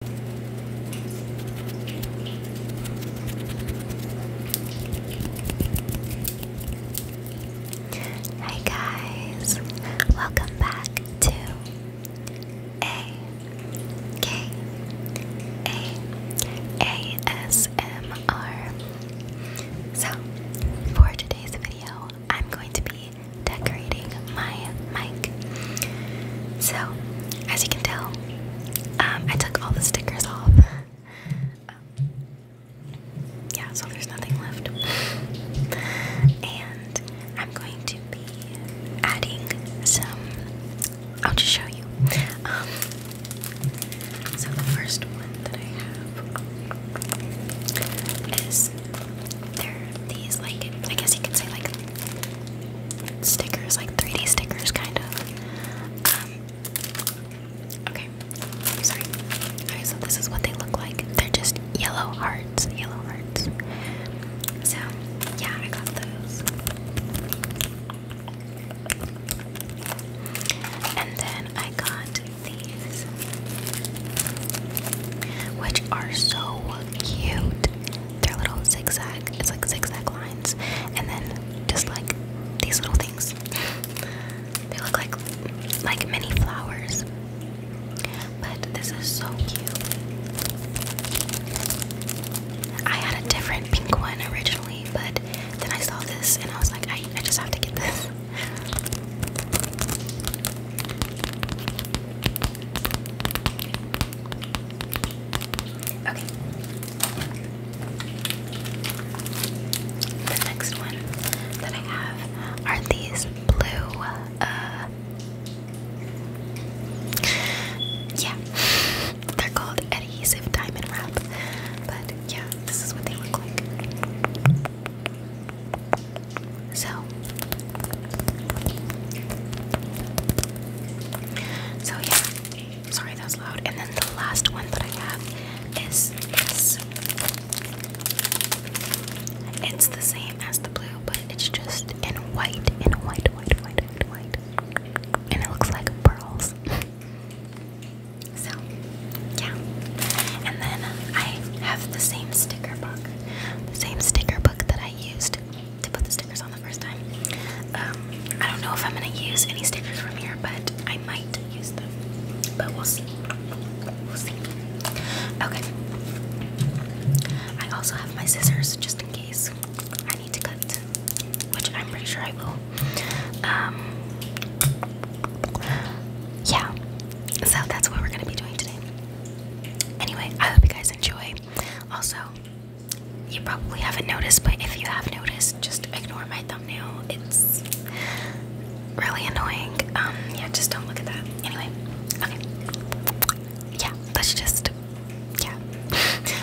Hi guys, welcome back to A K A A S M R. So, for today's video, I'm going to be decorating my mic. So, as you can tell, um, I took all the stickers off. yeah, so there's nothing left. and I'm going to be adding some. I'll just show you. Um, so, the first one that I have is. They're these, like, I guess you could say, like stickers, like 3D stickers, kind of. Um, okay, sorry. Okay, so this is what they look like. They're just yellow hearts, yellow hearts. So, yeah, I got those. And then I got these, which are so cute. They're little zigzag. It's like zigzag lines, and then just like these little things. they look like like mini flowers. But this is so cute. I had a different pink one originally, but then I saw this and I was like, I, I just have to get this. Okay. The next one that I have are these blue, uh, yeah, they're called adhesive diamond wrap, but yeah, this is what they look like. So, so yeah. Sorry, that was loud. And then the last one that I have is this. It's the same as the blue, but it's just in white, in white, white, white, white, white, and it looks like pearls. So, yeah. And then I have the same sticker book, the same sticker book that I used to put the stickers on the first time. Um, I don't know if I'm gonna use any stickers from here, but I might use them. But we'll see. We'll see. Okay. I also have my scissors just in case I need to cut, which I'm pretty sure I will. Um, yeah. So that's what we're gonna be doing today. Anyway, I hope you guys enjoy. Also, you probably haven't noticed, but if you have noticed, just ignore my thumbnail. It's really annoying. Um, yeah, just don't look at that. Anyway, okay. Yeah, let's just, yeah,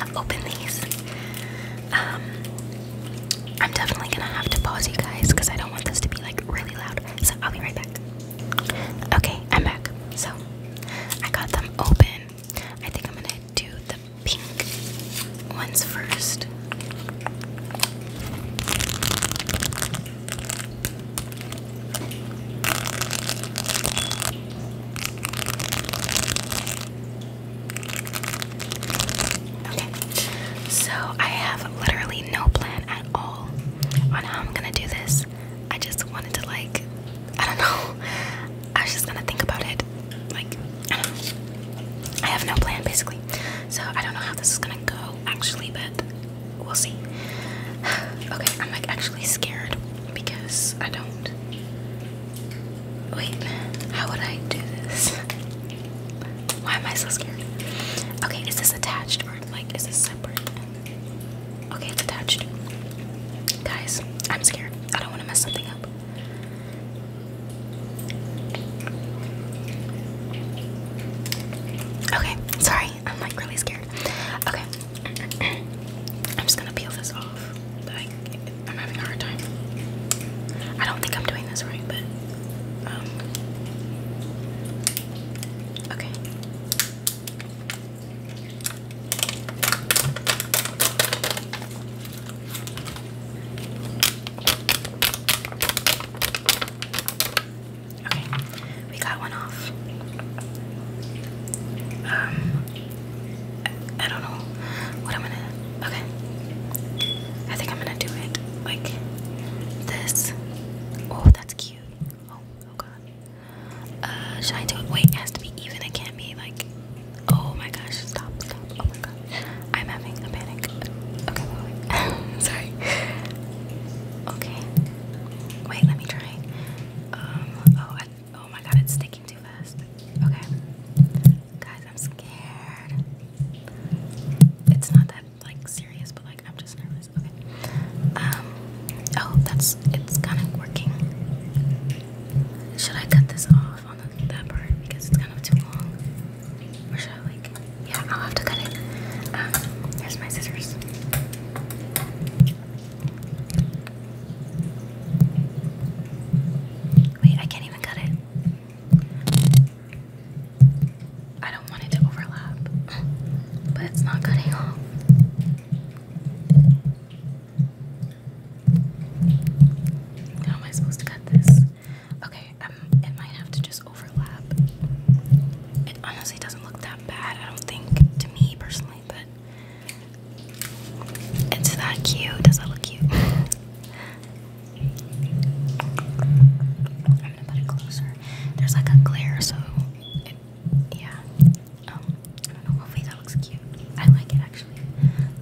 open these. Um, I'm definitely gonna have to pause you guys because I don't want this to be like really loud. So I'll be right back. Okay, I'm back. So I got them open. I think I'm gonna do the pink ones first. Okay, so I have literally no plan at all on how I'm gonna do this. I just wanted to like I don't know. I was just gonna think about it. Like I have no plan basically. So I don't know how this is gonna go actually, but we'll see. okay, I'm like actually scared because I don't wait, how would I do this? Why am I so scared? Okay, is this attached or like is this separate? Okay, it's attached. Guys, I'm scared. I don't want to mess something up. Okay, sorry. I'm like really scared. Okay. I'm just gonna peel this off. Like I'm having a hard time. I don't think I'm doing this right, but um Okay. Okay, we got one off. Um, I, don't know what I'm gonna. Okay, I think I'm gonna do it like this. Oh, that's cute. Oh, oh god. Uh, should I do it? Wait, it has to be even. It can't be like. Oh my gosh! Stop! Stop! Oh my god! I'm having a panic. Okay, Sorry. Okay. Wait, let me try. Um. Oh. oh my god! It's sticking too fast. Okay. Guys, I'm scared. It's not that like serious, but like I'm just nervous. Okay. Um, oh, that's it's kind of working. Should I cut this off on that part because it's kind of too long? Or should I like? Yeah, I'll have to cut it. Um, here's my scissors. Wait, I can't even cut it. I don't want it to overlap, but it's not cutting off. How am I supposed to cut this? Okay, um, it might have to just overlap. It honestly doesn't look that bad, I don't think, to me personally, but it's that cute. Does that look cute? I'm gonna put it closer. There's like a glare, so yeah. Um, I don't know. Hopefully that looks cute. I like it actually.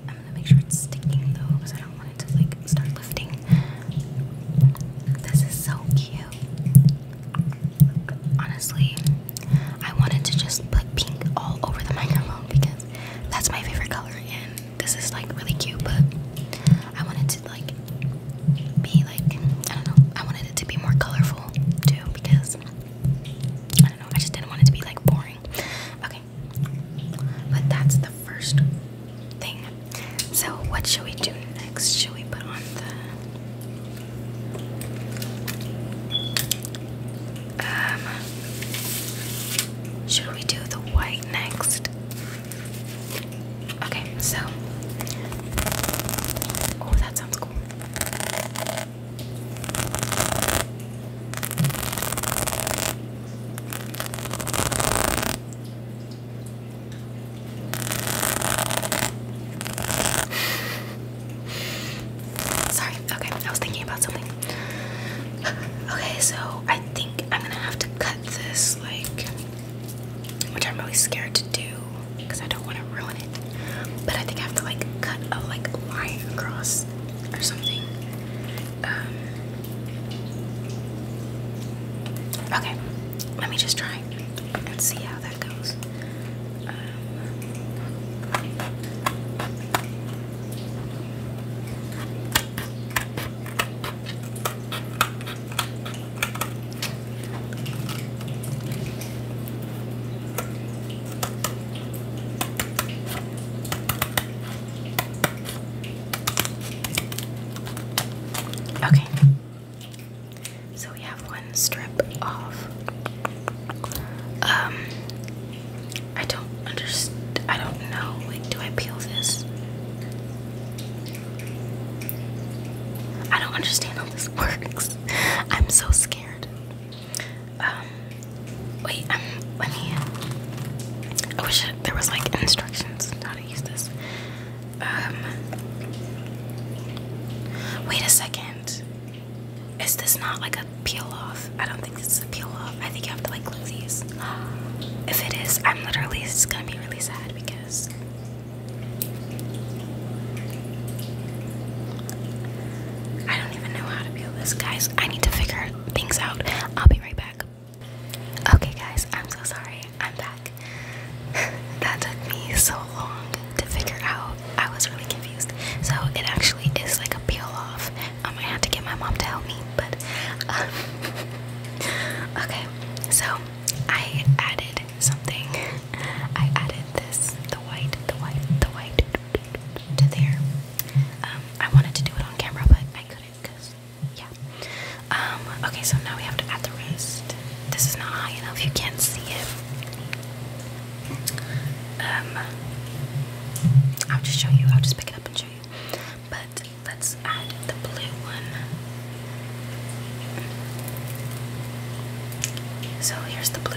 I'm gonna make sure it's sticking though, because I don't want it to like start lifting. This is so cute. Honestly, I wanted to just put pink all over the microphone because that's my favorite color, and this is like really cute. I wanted to like be like I don't know. I wanted it to be more colorful too because I don't know. I just didn't want it to be like boring. Okay, but that's the first thing. So what should we do next? Should we put on the um? Should we do the white next? Okay, so oh, that sounds cool. Sorry, okay, I was thinking about something. Okay, so I think I'm gonna have to cut this like which I'm really scared to do because I don't want to ruin it. But I think I have to like cut a like line across or something. Um, okay, let me just try and see how that goes. Um, Okay. So we have one strip off. Um I don't understand I don't know. Like do I peel this? I don't understand how this works. I'm so scared. Um, wait, um, let me. I wish there was like instructions how to use this. Um, wait a second. Is this not like a peel off? I don't think this is a peel off. I think you have to like glue these. If it is, I'm literally, it's gonna be really sad because I don't even know how to peel this, guys. I need to figure things out. I'll be right back. Okay, guys, I'm so sorry. I'm back. that took me so long to figure out. I was really confused. So it actually is like a peel off. Um, I had to get my mom to help me, but um, okay. So I added something. I added this, the white, the white, the white, to there. Um, I wanted to do it on camera, but I couldn't because, yeah. Um, okay, so now we have to add the wrist. This is not high enough, you can't see it. Um, I'll just show you, I'll just pick it up and show you. But Let's add the blue one. So here's the blue.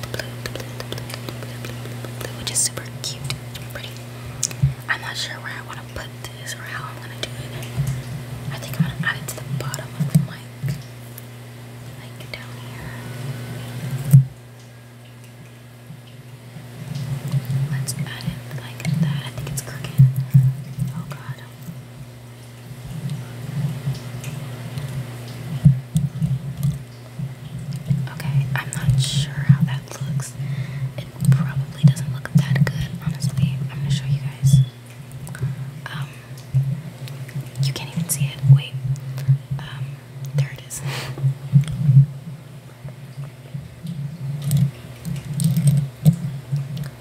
The blue, the blue, the blue, the blue, the blue, which is super cute and pretty. I'm not sure where I want to put this or how I'm going to do it. I think I'm going to add it to the bottom of the mic. Like down here. Let's add it like that. I think it's crooked. Oh god. Okay, I'm not sure how that looks. It probably doesn't look that good, honestly. I'm gonna show you guys. Um, you can't even see it. Wait, um, there it is.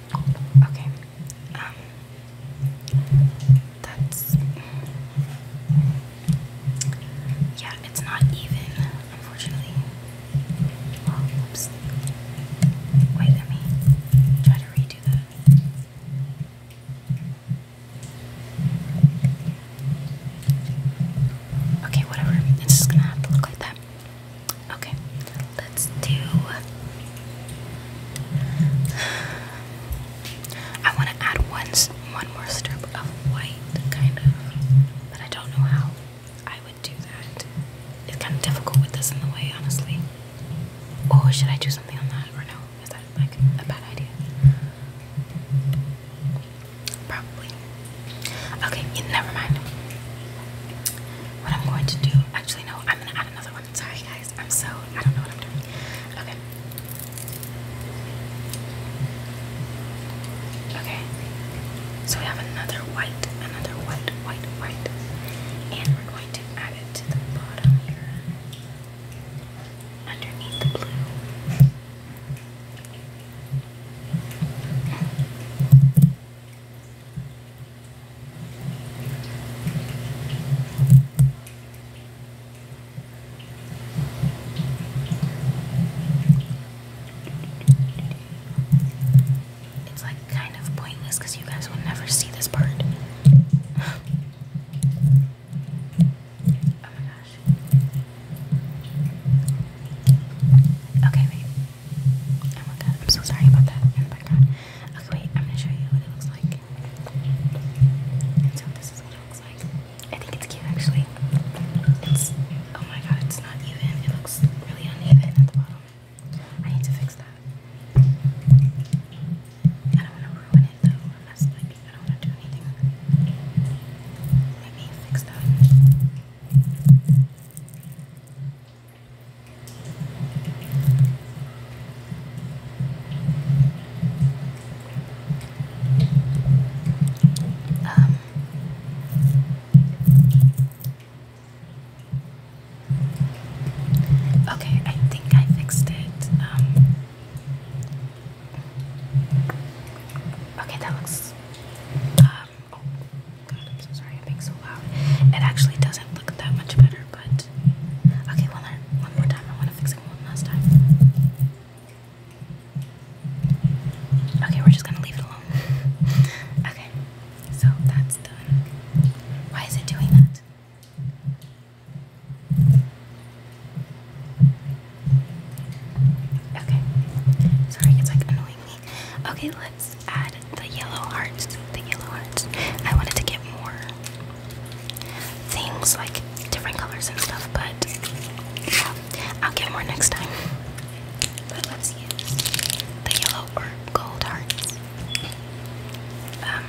Okay. Um that's yeah, it's not even, unfortunately. oops. Wait, let me try to redo that. Okay, whatever. It's just gonna have to look like that. Okay, let's do. I want to add one, one more strip of white, kind of, but I don't know how I would do that. It's kind of difficult with this in the way, honestly. Or oh, should I do something on that, or no? Is that like a bad idea? Probably. Okay, never mind. What I'm going to do, actually, no, I'm gonna add another one. Sorry, guys, I'm so, I don't know what I'm doing. Okay. Okay, so we have another white, another white, white, white, and we're going to add it to the bottom here underneath the blue. It's like kind of pointless because you guys will never see this part. oh my gosh. Okay, wait. Oh my god, I'm so sorry about that in oh the background. Okay, wait, I'm gonna show you what it looks like. so this is what it looks like. I think it's cute actually. It's oh my god, it's not even. It looks really uneven at the bottom. I need to fix that. I don't wanna ruin it though. That's like I don't wanna do anything. Let me fix that. Um, okay, I think I fixed it. Um, okay, that looks. Um, Oh god, I'm so sorry, I'm being so loud. It actually doesn't look that much better, but okay, one, more time. I want to fix it one last time. Okay, we're just gonna leave it alone. okay, so that's done. Why is it doing that? Okay. Sorry, it's like annoying me Okay, let's add the yellow hearts. The yellow hearts. I wanted to get more things like different colors and stuff, but I'll get more next time. But let's use the yellow or gold hearts. Um,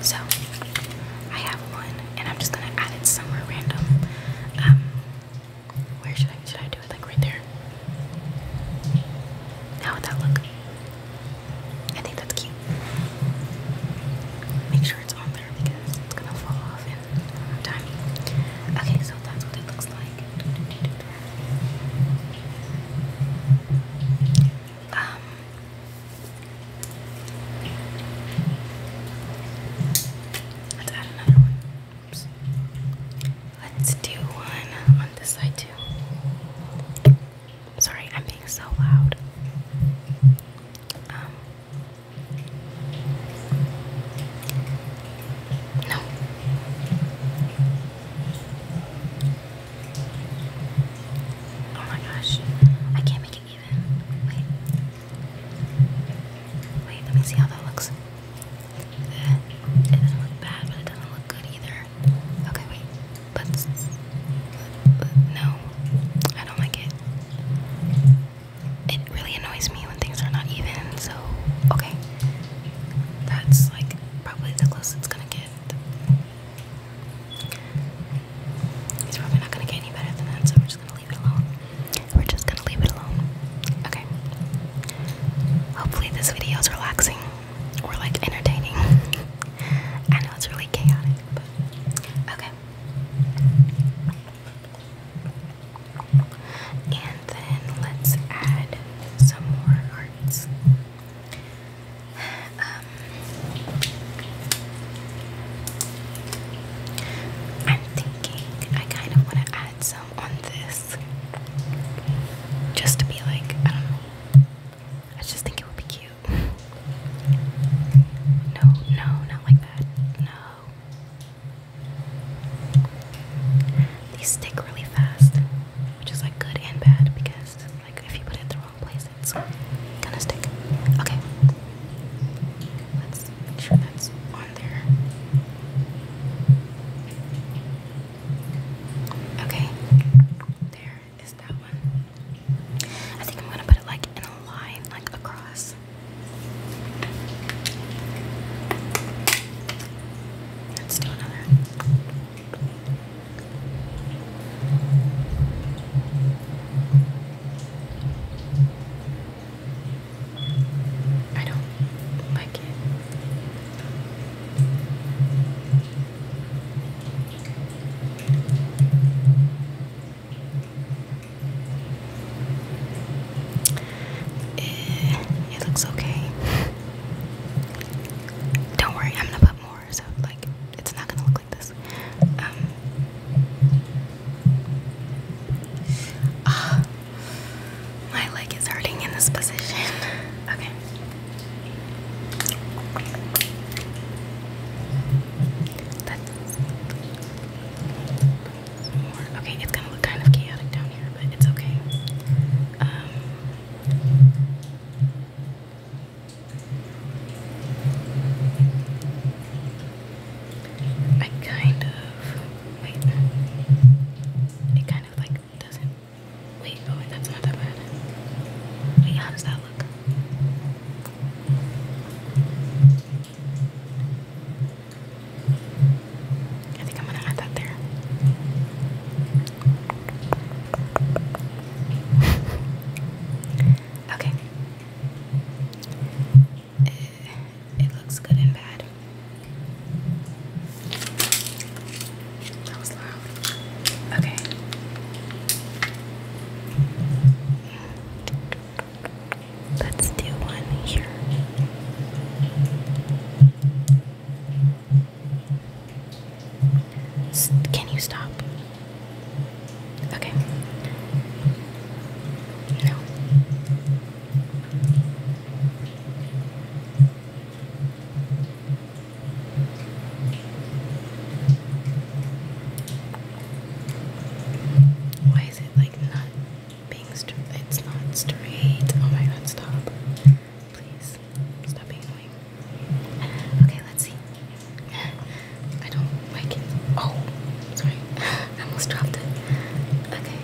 so I have and I'm just gonna add it somewhere random. Um, where should I should I do it? Like right there. How would that look? I think that's cute. Make sure it's on there because it's gonna fall off in time. Okay, so that's what it looks like. Um, Let's add another one. Oops. Let's do one on this side too. Sorry, I'm being so loud. Um, no. Oh my gosh. I can't make it Wait. Wait, let me see how that looks. Uh, it doesn't look bad, but it doesn't look good either. Okay, wait. But, but no, I don't like it. It really annoys me when things are not even, so okay. That's like probably the closest it's gonna get. It's probably not gonna get any better than that, so we're just gonna leave it alone. We're just gonna leave it alone. Okay. Hopefully this video is relaxing or like entertaining. I know it's really chaotic, but okay. And then let's add some more hearts. Um, I'm thinking I kind of want to add some on this. Just to be like, I don't know. I just think it would be cute. No, no, not like that. No. These stick really fast, which is like good and bad because, like, if you put it in the wrong place, it's gonna stick. Okay, Let's make sure that's on there. Okay, there is that one. I think I'm gonna put it like in a line, like across. Let's do another. I don't like it. Eh, it looks okay. Don't worry, I'm gonna put more, so like it's not gonna look um, ah, my leg is hurting in this position. Okay. Okay, it's gonna look kind of chaotic down here, but it's okay. Um, I kind of wait. It kind of like doesn't. Wait, oh that's not that bad. Wait, how does that look? I think I'm gonna add that there. okay, it, eh, it looks good and bad. That was loud. Okay. Let's do one here. Can you stop? Okay. No. Why is it like not being straight? It's not straight. Oh my god, stop. Please, stop being annoying. Okay, let's see. I don't like it. Oh, sorry. I almost dropped it. Okay.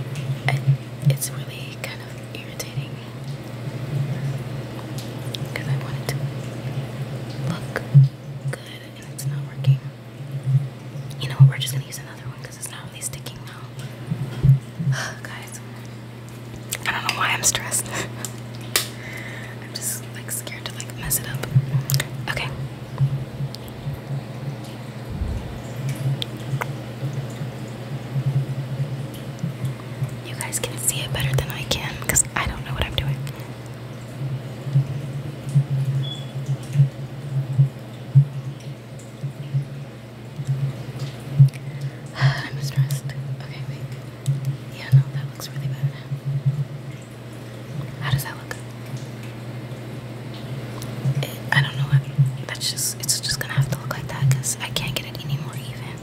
I, it's really kind of irritating because I want it to look good and it's not working. You know what? We're just going to use another one because it's not really sticking now. Guys, I don't know why I'm stressed. I'm just like scared to like mess it up. Okay. You guys can see it better than I can because I don't know what I'm doing. I'm stressed. Okay, Yeah, no, that looks really bad. How does that look? It, I don't know. That's just, it's just gonna have to look like that because I can't get it any more even.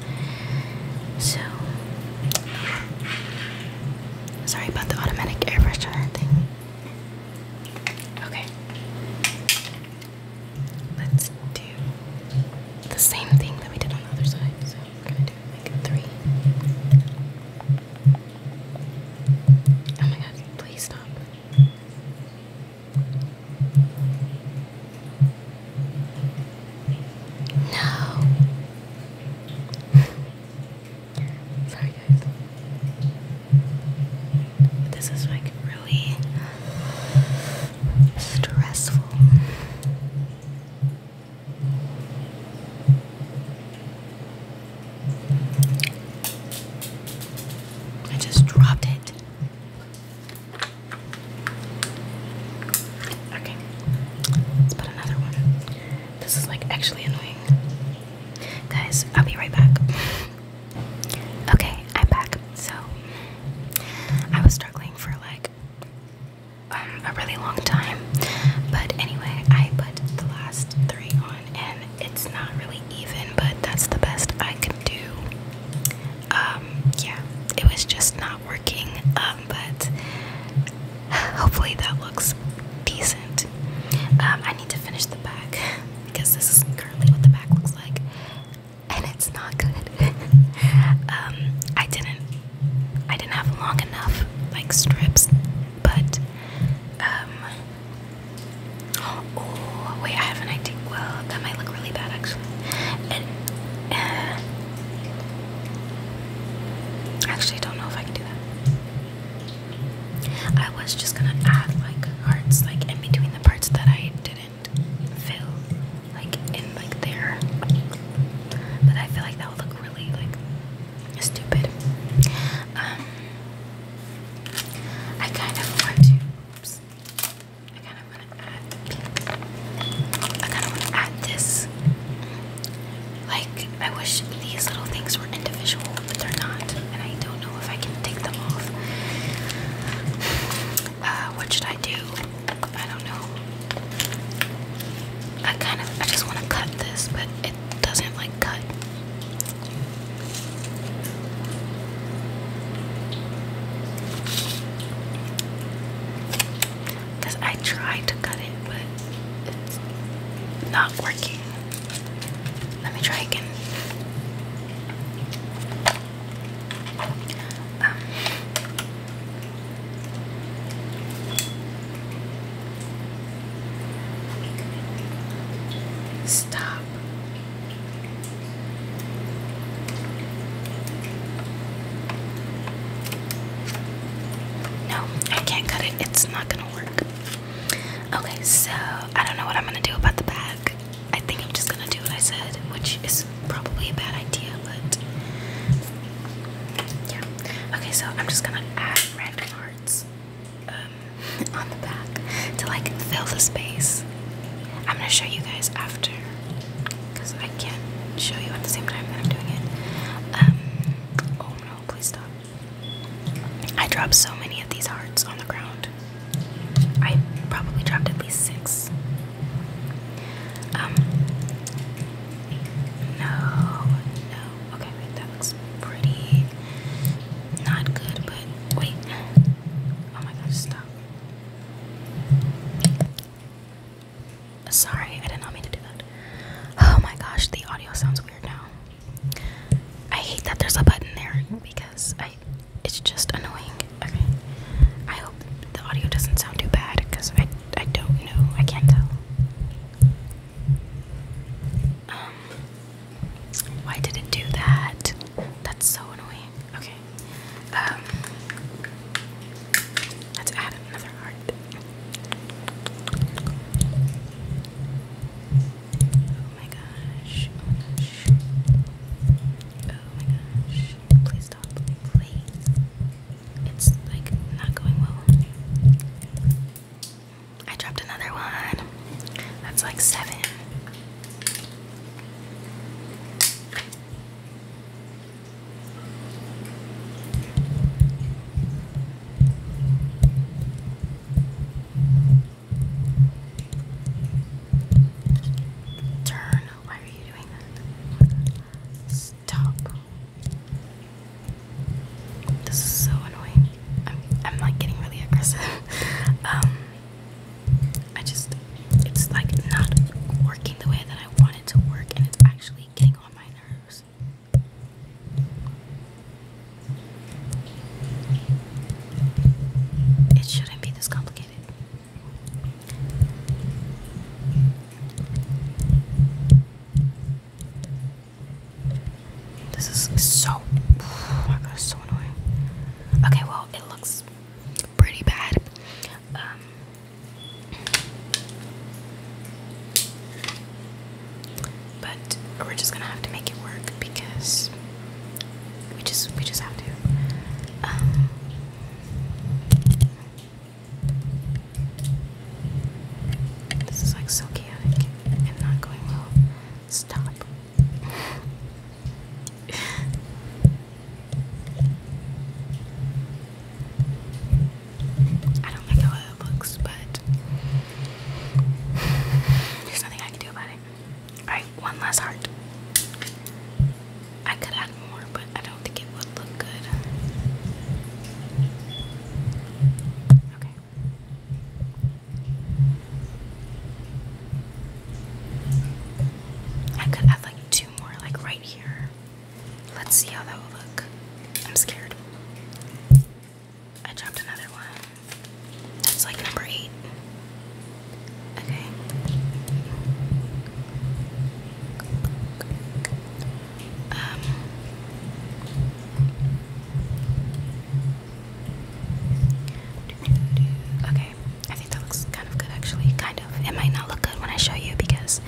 So, sorry about the automatic airbrush on thing. Okay. Let's do the same thing that we did on the other side. So, we like three. Oh my god, please stop. No. Sorry guys. this is like really stressful. I just dropped it. Okay, let's put another one. This is like actually annoying. Guys, I'll be right back. Okay, I'm back. So, I was struggling for like um, a really long time. But anyway, I put the last three on, and it's not really even, but that's the best I can do. Um, yeah, it was just not working, um, but hopefully that looks decent. I need to finish the back because this is currently what the back looks like, and it's not good. I didn't I didn't have long enough like strips, but um oh wait, I have an idea. Well, that might look really bad actually. Uh, I actually don't know if I can do that. I was just gonna add like hearts like in between the parts that I didn't fill, like in like there. But I feel like that would look like stupid. Um, I kind of want to. Oops, I kind of want to add. I kind of want to add this. Like I wish these little things were individual, but they're not, and I don't know if I can take them off. Uh, what should I do? I don't know. I kind of I just want to cut this, but it doesn't like cut. Cause I tried to cut it, but it's not working. Let me try again. Um, Stop. No, I can't cut it. It's not gonna work. Okay, so I don't know what I'm gonna do about the back. I think I'm just gonna do what I said, which is probably a bad idea, but yeah. Okay, so I'm just gonna add red hearts um, on the back to like fill the space. I'm gonna show you guys after because I can't show you at the same time that I'm doing it. Um, oh no, please stop. I dropped so many of these hearts on the ground. I probably dropped at least six um, no, no. Okay, that looks pretty. Not good, but wait. Oh my gosh, stop. Sorry, I did not mean to do that. Oh my gosh, the audio sounds weird now. I hate that there's a button there because I it's just annoying. Okay. I hope the audio doesn't sound too bad because I I don't know. I can't tell. Um, why did it do that? That's so annoying. Okay. Um, let's add another heart. Oh my gosh. Oh my gosh. Oh Please stop. Please it's like not going well. I dropped another one. That's like seven. Turn. Why are you doing that? This is so annoying. I'm I'm like getting really aggressive. um I just it's like not working the way that I want it to work and it's actually getting on my nerves. It shouldn't be this complicated. This is so. my god, so annoying. Okay, well, it looks pretty bad. Um, but we're just gonna have to make it work because we just we just have to. Um, this is like so chaotic and not going well. Stop. I don't like how it looks, but there's nothing I can do about it. Alright, one last heart. I could add more, but I don't think it would look good. Okay. I could add like two more, like right here. Let's see how that will look. I'm scared. I dropped another one. That's like number eight. Okay. Um, okay, I think that looks kind of good actually. Kind of. It might not look good when I show you because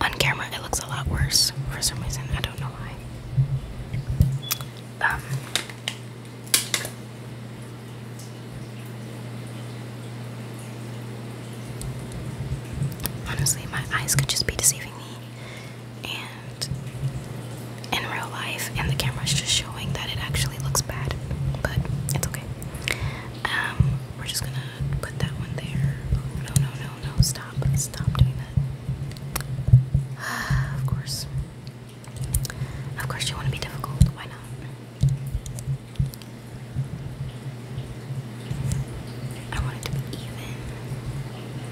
on camera it looks a lot worse for some reason. I don't know why. Um, Honestly, my eyes could just be deceiving me, and in real life, and the camera is just showing that it actually looks bad, but it's okay. Um, we're just gonna put that one there. No, no, no, no, stop, stop doing that. of course. Of course, you want to be difficult. Why not? I want it to be even.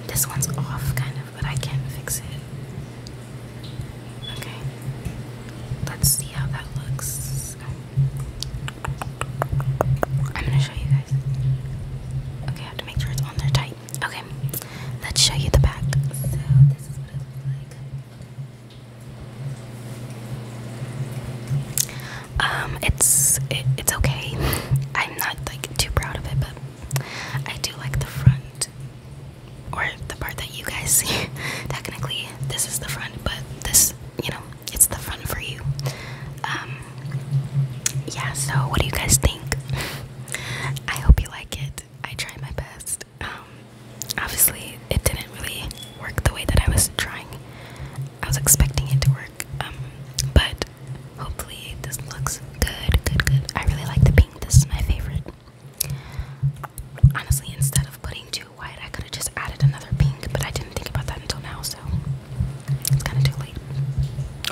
This one's off, kind of, but I can fix it. Okay. Let's see how that looks. I'm gonna show you guys. Okay, I have to make sure it's on there tight. Okay, let's show you the back. So, this is what it looks like. Um, it's it's okay. I'm not like too proud of it, but I do like the front or the part that you guys see. Technically, this is the front, but this, you know, it's the front for you. Um, yeah. So, what do you guys think? I hope you like it. I try my best. Um, obviously it didn't really work the way that I was trying. I was expecting it to work, um, but hopefully this looks good, good, good. I really like the pink. This is my favorite. Honestly, instead of putting too white, I could have just added another pink, but I didn't think about that until now, so it's kind of too late.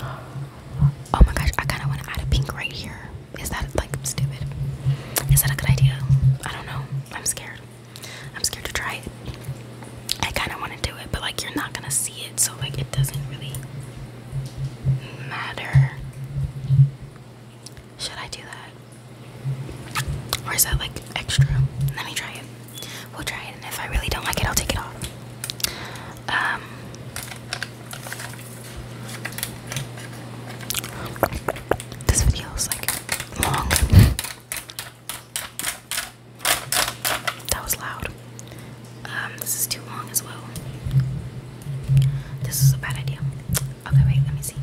Oh my gosh, I kind of want to add a pink right here. Is that like stupid? Is that a good idea? I don't know. I'm scared. I'm scared to try it. I kind of want to do it, but like you're not gonna see it, so like it doesn't really matter. Should I do that? Or is that like extra? Let me try it. We'll try it, and if I really don't like it, I'll take it off. Um. This video like long. That was loud. Um, this is too long as well. This is a bad idea. Okay, wait, let me see.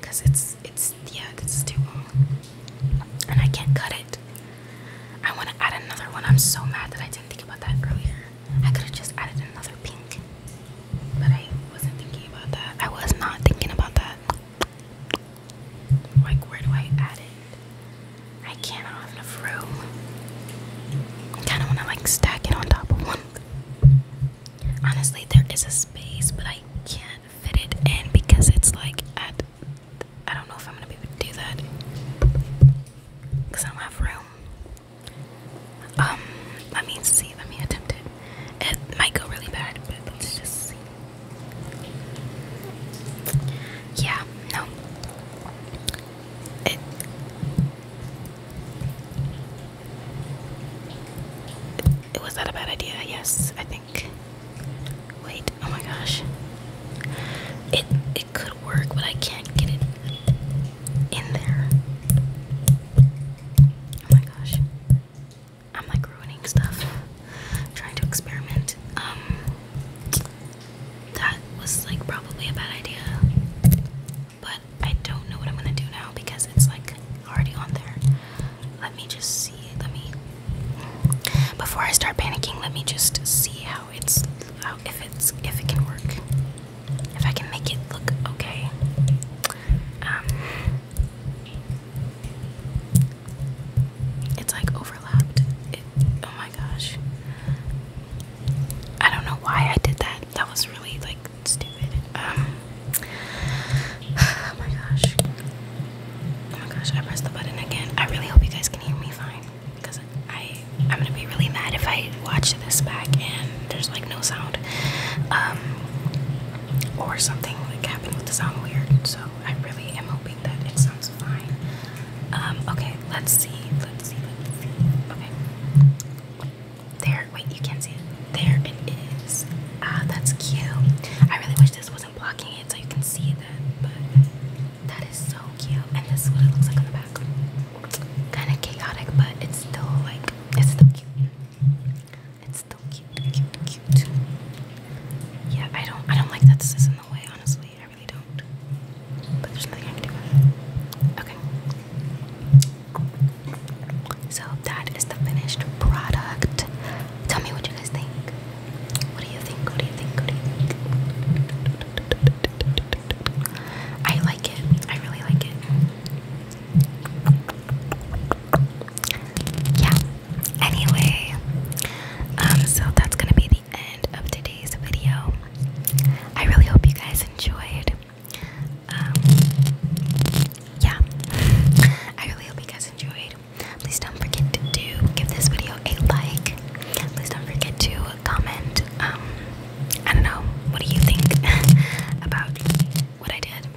Cause it's it's yeah, this is too long. And I can't cut it. I wanna add another one. I'm so mad that I didn't think about that earlier. I could have just added another pink. But I wasn't thinking about that. I was not thinking about that. Like, where do I add it? I can't, have enough room. I kind of want to like stack it on top of one. Honestly, there is a space, but I can't fit it in because it's like at. I don't know if I'm gonna be able to do that because I don't have room. Um, let me see. Let me attempt it. It might go really bad, but let's just see. Yeah, no. It it was that a bad idea? Yes, I think. Wait, oh my gosh. It it could work, but I can't get it in there. Oh my gosh. I'm like ruining stuff, trying to experiment. Um, that was like probably a bad idea, but I don't know what I'm gonna do now because it's like already on there. Let me just see. Let me before I start panicking. Let me just see how it's how if it's if it can work. If I can make it look okay. Um, it's like overlapped. oh my gosh. I don't know why I did that. That was really like stupid. Um, oh my gosh. Oh my gosh, I pressed the button again. I really hope you guys can hear me fine. Because I I'm gonna be really mad if I watch this back and there's like no sound. Um or something like happening with the sound weird. So I really am hoping that it sounds fine. Um, okay, let's see. Let's see. Let's see. Okay. There. Wait, you can't see it. There it is. Ah, that's cute. I really wish this wasn't blocking it so you can see that, but that is so cute. And this is what it looks like on the back. Kind of chaotic, but it's still like it's still cute. It's still cute, cute, cute. Yeah, I don't, I don't like that this is in the way. Honestly, I really don't. But there's nothing I can do Okay. So that is the finished product. Tell me what you guys think? What do you think? What do you think? I like it. I really like it yeah anyway um so that's gonna be the end of today's video i really hope you guys enjoyed um yeah i really hope you guys enjoyed please don't forget to give this video a like please don't forget to comment um i don't know what do you think about what i did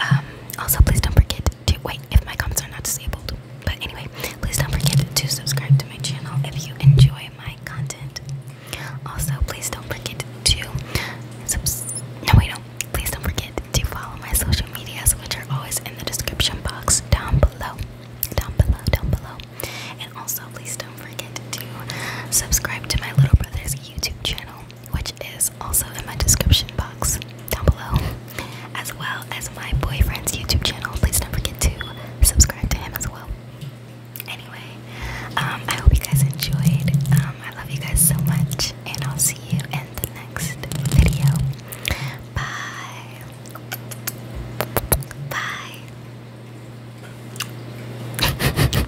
um, also, please don't forget to wait if my comments are not disabled. But anyway, please don't forget to subscribe to my channel if you enjoy my content. Also, please don't forget to no wait no. Please don't forget to follow my social medias, which are always in the description box down below, down below, down below. And also, please don't forget to subscribe to my little brother's YouTube channel which is also in my description box down below, as well as my boyfriend's YouTube channel. Please don't forget to subscribe to him as well. Anyway, um, I hope you guys enjoyed. Um, I love you guys so much, and I'll see you in the next video. Bye.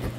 Bye.